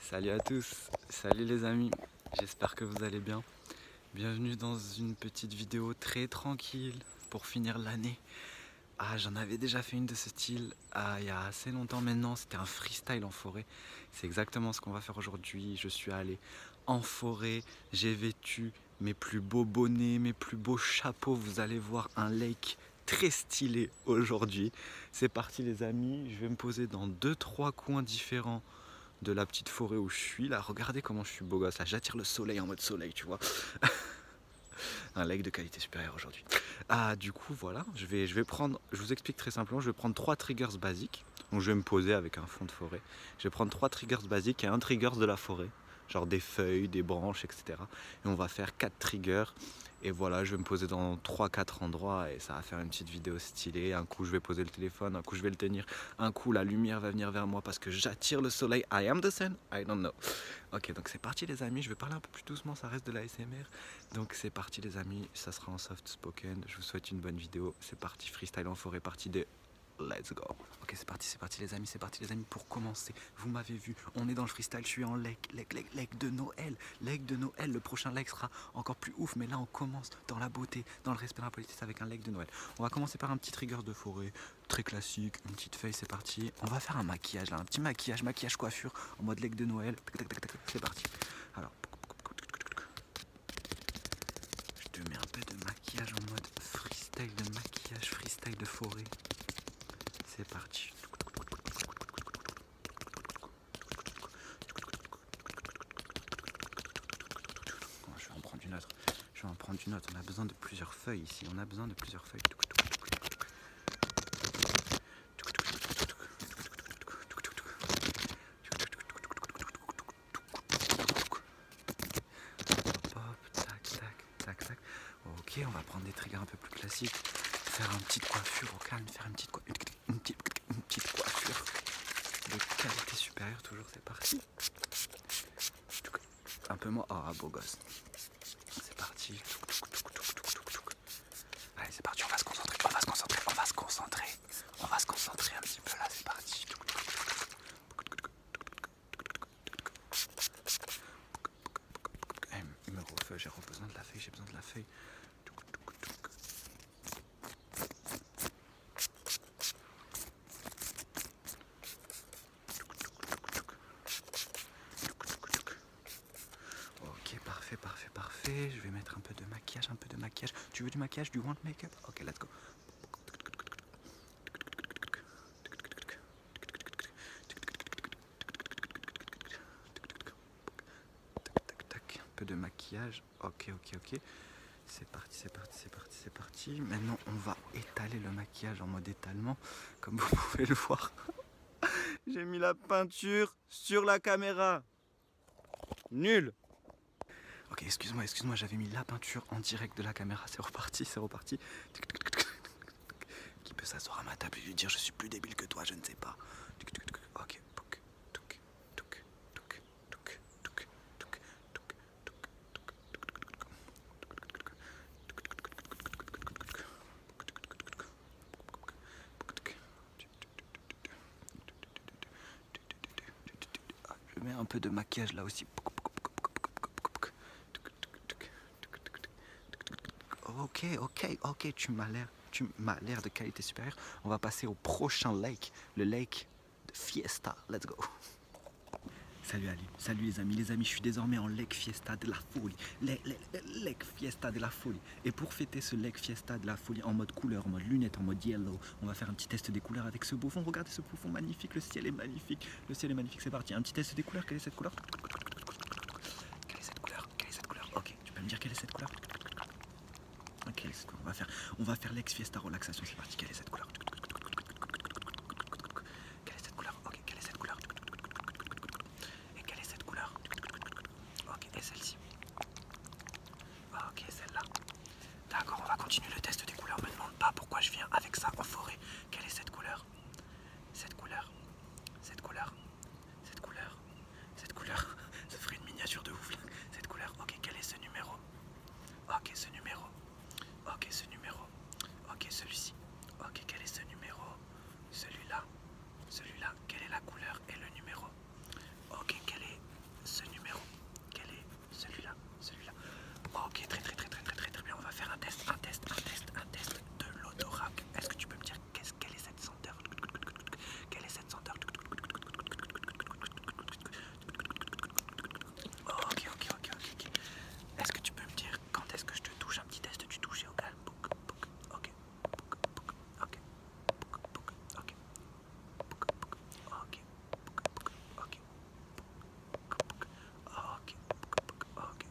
Salut à tous, salut les amis, j'espère que vous allez bien. Bienvenue dans une petite vidéo très tranquille pour finir l'année. Ah, j'en avais déjà fait une de ce style ah, il y a assez longtemps maintenant, c'était un freestyle en forêt. C'est exactement ce qu'on va faire aujourd'hui. Je suis allé en forêt, j'ai vêtu mes plus beaux bonnets, mes plus beaux chapeaux. Vous allez voir un lake très stylé aujourd'hui. C'est parti les amis, je vais me poser dans deux trois coins différents de la petite forêt où je suis là. Regardez comment je suis beau gosse là, j'attire le soleil en mode soleil, tu vois. Un leg de qualité supérieure aujourd'hui. Ah du coup voilà, je vais je vais prendre je vous explique très simplement, je vais prendre trois triggers basiques. Donc je vais me poser avec un fond de forêt. Je vais prendre trois triggers basiques et un trigger de la forêt genre des feuilles, des branches, etc. Et on va faire quatre triggers et voilà, je vais me poser dans 3-4 endroits et ça va faire une petite vidéo stylée. Un coup, je vais poser le téléphone, un coup, je vais le tenir, un coup, la lumière va venir vers moi parce que j'attire le soleil. I am the sun, I don't know. Ok, donc c'est parti, les amis. Je vais parler un peu plus doucement, ça reste de la SMR. Donc c'est parti, les amis. Ça sera en soft spoken. Je vous souhaite une bonne vidéo. C'est parti, freestyle en forêt, partie des Let's go. Ok, c'est parti, c'est parti, les amis, c'est parti, les amis, pour commencer vous m'avez vu, on est dans le freestyle, je suis en leg, leg, leg, de Noël, leg de Noël, le prochain leg sera encore plus ouf, mais là on commence dans la beauté, dans le respect de la politesse avec un leg de Noël. On va commencer par un petit trigger de forêt, très classique, une petite feuille, c'est parti. On va faire un maquillage là, un petit maquillage, maquillage coiffure, en mode leg de Noël, c'est parti. Alors, je te mets un peu de maquillage en mode freestyle de maquillage, freestyle de forêt. C'est parti. Je vais en prendre une autre. Je vais en prendre une autre. On a besoin de plusieurs feuilles ici. On a besoin de plusieurs feuilles. Hop, tac, tac tac, tac. Ok, on va prendre des triggers un peu plus classiques. Faire une petite coiffure au calme, faire une petite, une une petite, coiffure de qualité supérieure, toujours, c'est parti. Un peu moins. oh oh, beau gosse. C'est parti. Allez, c'est parti, on va se concentrer, on va se concentrer, on va se concentrer. On va se concentrer un petit peu là, c'est parti. Il me refait, j'ai besoin de la feuille, j'ai besoin de la feuille. Ok, parfait, parfait, parfait. Je vais mettre un peu de maquillage, un peu de maquillage. Tu veux du maquillage, du want make-up Ok, let's go. Un peu de maquillage. Ok, ok, ok. C'est parti, c'est parti, c'est parti, c'est parti. Maintenant, on va étaler le maquillage en mode étalement, comme vous pouvez le voir. J'ai mis la peinture sur la caméra. Nul. Ok, excuse-moi, excuse-moi, j'avais mis la peinture en direct de la caméra. C'est reparti, c'est reparti qui peut s'asseoir à ma table et lui dire je suis plus débile que toi, je ne sais pas. Ok. Je mets un peu de maquillage là aussi. Ok, ok, ok, tu m'as l'air, tu m'as l'air de qualité supérieure. On va passer au prochain lake, le lake de Fiesta. Let's go. Salut Ali, salut les amis, les amis, je suis désormais en Lake Fiesta de la folie, lake, Fiesta de la folie. Et pour fêter ce Lake Fiesta de la folie en mode couleur, en mode lunettes, en mode yellow, on va faire un petit test des couleurs avec ce bouffon. Regardez ce bouffon magnifique, le ciel est magnifique, le ciel est magnifique, c'est parti. Un petit test des couleurs. Quelle est cette couleur Quelle est cette couleur Quelle est cette couleur Ok, tu peux me dire quelle est cette couleur Ok, on va faire, l'ex fiesta relaxation. C'est parti. Quelle est cette couleur Quelle est cette couleur Ok, quelle est cette couleur Et quelle est cette couleur Ok, et celle-ci. Ok, celle-là. D'accord, on va continuer le test des couleurs. Me demande pas pourquoi je viens avec ça en forêt. Quelle est cette couleur Cette couleur Cette couleur Cette couleur Cette couleur Ça ferait une miniature de ouf. Cette couleur. Ok, quel est ce numéro Ok, ce numéro. Ok, ce numéro. Ok, celui-ci. Ok, quel est ce numéro Celui-là. Celui-là. Quelle est la couleur et le numéro Ok, quel est ce numéro Quel est celui-là, celui-là. Oh, ok, très très très très très très très bien. On va faire un test, un test, un test, un test de l'odorat. Est-ce que tu peux me dire qu'est-ce quelle est cette senteur Quelle est cette senteur Ok, ok, ok, ok. Est-ce que tu peux me dire quand est-ce que je te touche un petit test du toucher au ah, calme ok, ok, ok, ok, Ok. Ok. Ok. Ok.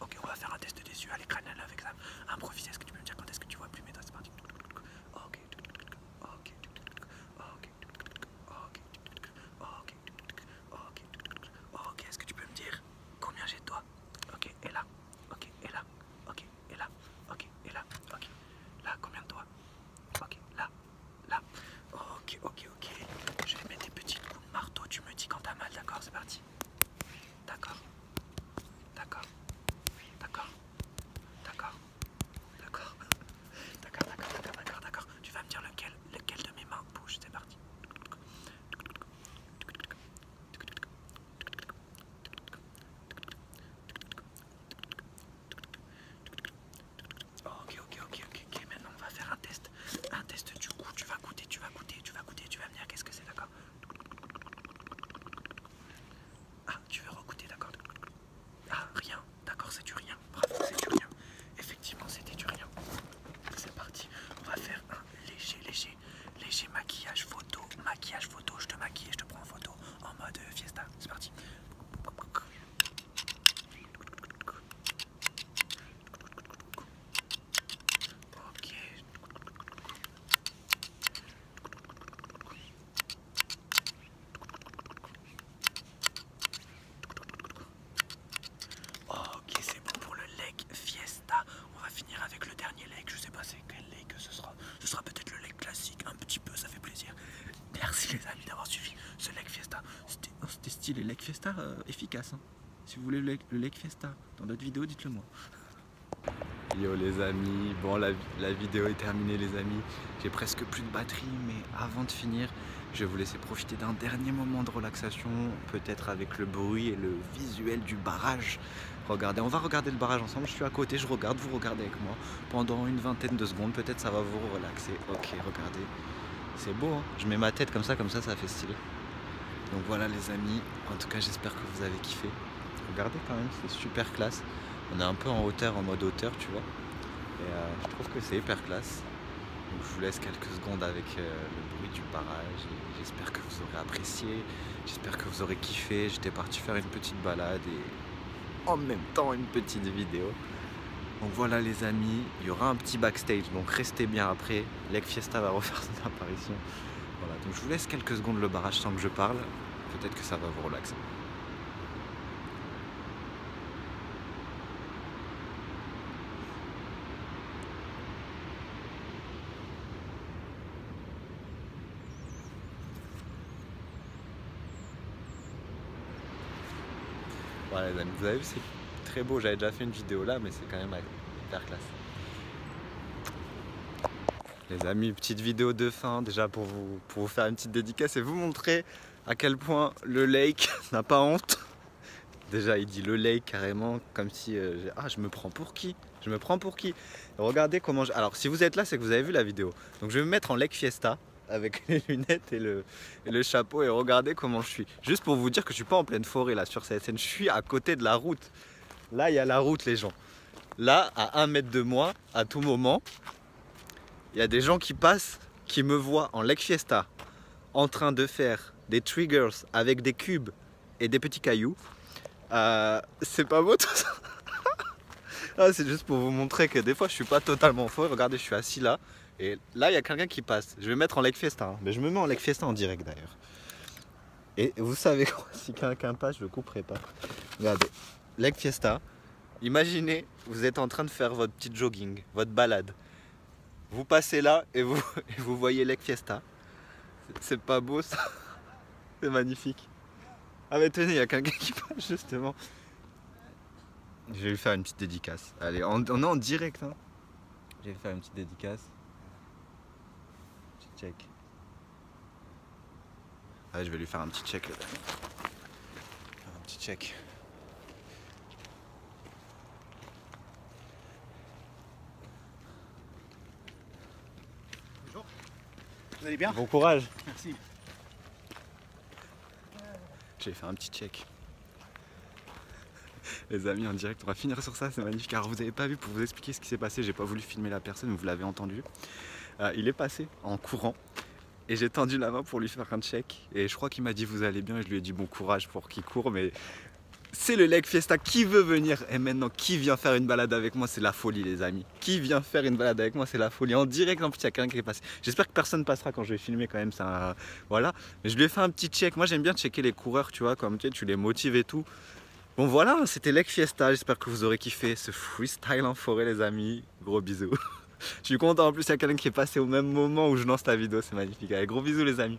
Ok, on va faire un test des yeux à l'écran avec ça. Improvisé. est-ce que tu peux me dire quand est-ce que tu vois plus mes doigts C'est parti. Ok. Ok. Ok. Ok. Ok. Ok. Ok. Est-ce que tu peux me dire combien j'ai de doigts Ok. Et là. Ok. Et là. Ok. Et là. Ok. Et là. Ok. Là, combien de doigts Ok. Là là. Ok, ok, ok. Je vais mettre des petits coups de marteau. Tu me dis quand t'as mal, d'accord C'est parti. D'accord. D'accord. D'accord. D'accord. D'accord. D'accord, d'accord, d'accord, d'accord, d'accord. Tu vas me dire lequel, lequel de mes mains bouge. C'est parti. Ok, ok, ok, ok, ok. Maintenant, on va faire un test. Un test du coup, tu vas goûter, tu vas goûter, tu vas goûter, tu vas venir, qu'est-ce que c'est, d'accord Ah, tu veux recouter, d'accord Ah, rien, d'accord, c'est du rien. Bravo, c'est du rien. Effectivement, c'était du rien. C'est parti. On va faire un léger, léger, léger maquillage photo. Maquillage photo, je te maquille et je te prends en photo en mode fiesta. C'est parti. Ok. Ok, c'est bon pour le leg fiesta. On va finir avec le dernier leg. Je sais pas quel ce sera. Ce sera peut-être le lait classique, un petit peu, ça fait plaisir. Merci les amis d'avoir suivi ce lait fiesta. C'était oh, stylé, lec fiesta euh, efficace. Hein. Si vous voulez le, lec fiesta dans d'autres vidéos, dites-le moi. Yo les amis, bon la, la vidéo est terminée les amis, j'ai presque plus de batterie mais avant de finir je vais vous laisser profiter d'un dernier moment de relaxation peut-être avec le bruit et le visuel du barrage Regardez, on va regarder le barrage ensemble. Je suis à côté, je regarde, vous regardez avec moi. Pendant une vingtaine de secondes, peut-être ça va vous relaxer. Ok, regardez. C'est beau, hein. je mets ma tête comme ça, comme ça, ça fait stylé. Donc voilà les amis, en tout cas j'espère que vous avez kiffé. Regardez quand même, c'est super classe. On est un peu en hauteur, en mode hauteur, tu vois. Et euh, je trouve que c'est hyper classe. je vous laisse quelques secondes avec euh, le bruit du barrage. J'espère que vous aurez apprécié, j'espère que vous aurez kiffé. J'étais parti faire une petite balade et en même temps une petite vidéo. Donc voilà les amis, il y aura un petit backstage, donc restez bien après. Leg Fiesta va refaire son apparition. Voilà, donc je vous laisse quelques secondes le barrage sans que je parle. Peut-être que ça va vous relaxer. Voilà les amis, vous avez vu, c'est très beau. J'avais déjà fait une vidéo là, mais c'est quand même hyper classe. Les amis, petite vidéo de fin déjà pour vous, pour vous faire une petite dédicace et vous montrer à quel point le lake n'a pas honte. Déjà, il dit le lake carrément, comme si. Euh, ah, je me prends pour qui je me prends pour qui Regardez comment je... Alors si vous êtes là, c'est que vous avez vu la vidéo. Donc je vais me mettre en leg fiesta avec les lunettes et le, chapeau et regardez comment je suis. Juste pour vous dire que je suis pas en pleine forêt là sur cette scène, je suis à côté de la route. Là, il y a la route les gens. Là, à un mètre de moi, à tout moment, il y a des gens qui passent, qui me voient en leg fiesta, en train de faire des triggers avec des cubes, et des petits cailloux. Euh, c'est pas beau tout ça ah, C'est juste pour vous montrer que des fois je suis pas totalement faux. Regardez, je suis assis là. Et là, il y a quelqu'un qui passe. Je vais mettre en leg fiesta. Hein. Mais je me mets en leg fiesta en direct d'ailleurs. Et vous savez quoi Si quelqu'un passe, je le couperai pas. Regardez, leg fiesta. Imaginez, vous êtes en train de faire votre petit jogging, votre balade. Vous passez là et vous, vous voyez leg fiesta. C'est pas beau ça C'est magnifique. Ah mais tenez, il y a quelqu'un qui passe justement. Je vais lui faire une petite dédicace. Allez, on, est en direct. Hein. Je vais lui faire une petite dédicace. Petit check. Allez, je vais lui faire un petit check là Un petit check. Bonjour. Vous allez bien Bon courage. Merci. J'ai fait un petit check. Les amis, en direct, on va finir sur ça, c'est magnifique. Alors, vous avez pas vu, pour vous expliquer ce qui s'est passé, j'ai pas voulu filmer la personne, vous l'avez entendu. Euh, il est passé en courant et j'ai tendu la main pour lui faire un check. Et je crois qu'il m'a dit vous allez bien et je lui ai dit bon courage pour qu'il court. Mais c'est le Leg Fiesta. Qui veut venir Et maintenant, qui vient faire une balade avec moi C'est la folie, les amis. Qui vient faire une balade avec moi C'est la folie. En direct, en plus, il y a quelqu'un qui est passé. J'espère que personne passera quand je vais filmer quand même. Ça, voilà. Mais je lui ai fait un petit check. Moi, j'aime bien checker les coureurs, tu vois, comme tu, tu les motives et tout. Bon, voilà, c'était Leg Fiesta. J'espère que vous aurez kiffé ce freestyle en forêt, les amis. Gros bisous. je suis content. En plus, il y a quelqu'un qui est passé au même moment où je lance la vidéo. C'est magnifique. Allez, gros bisous, les amis.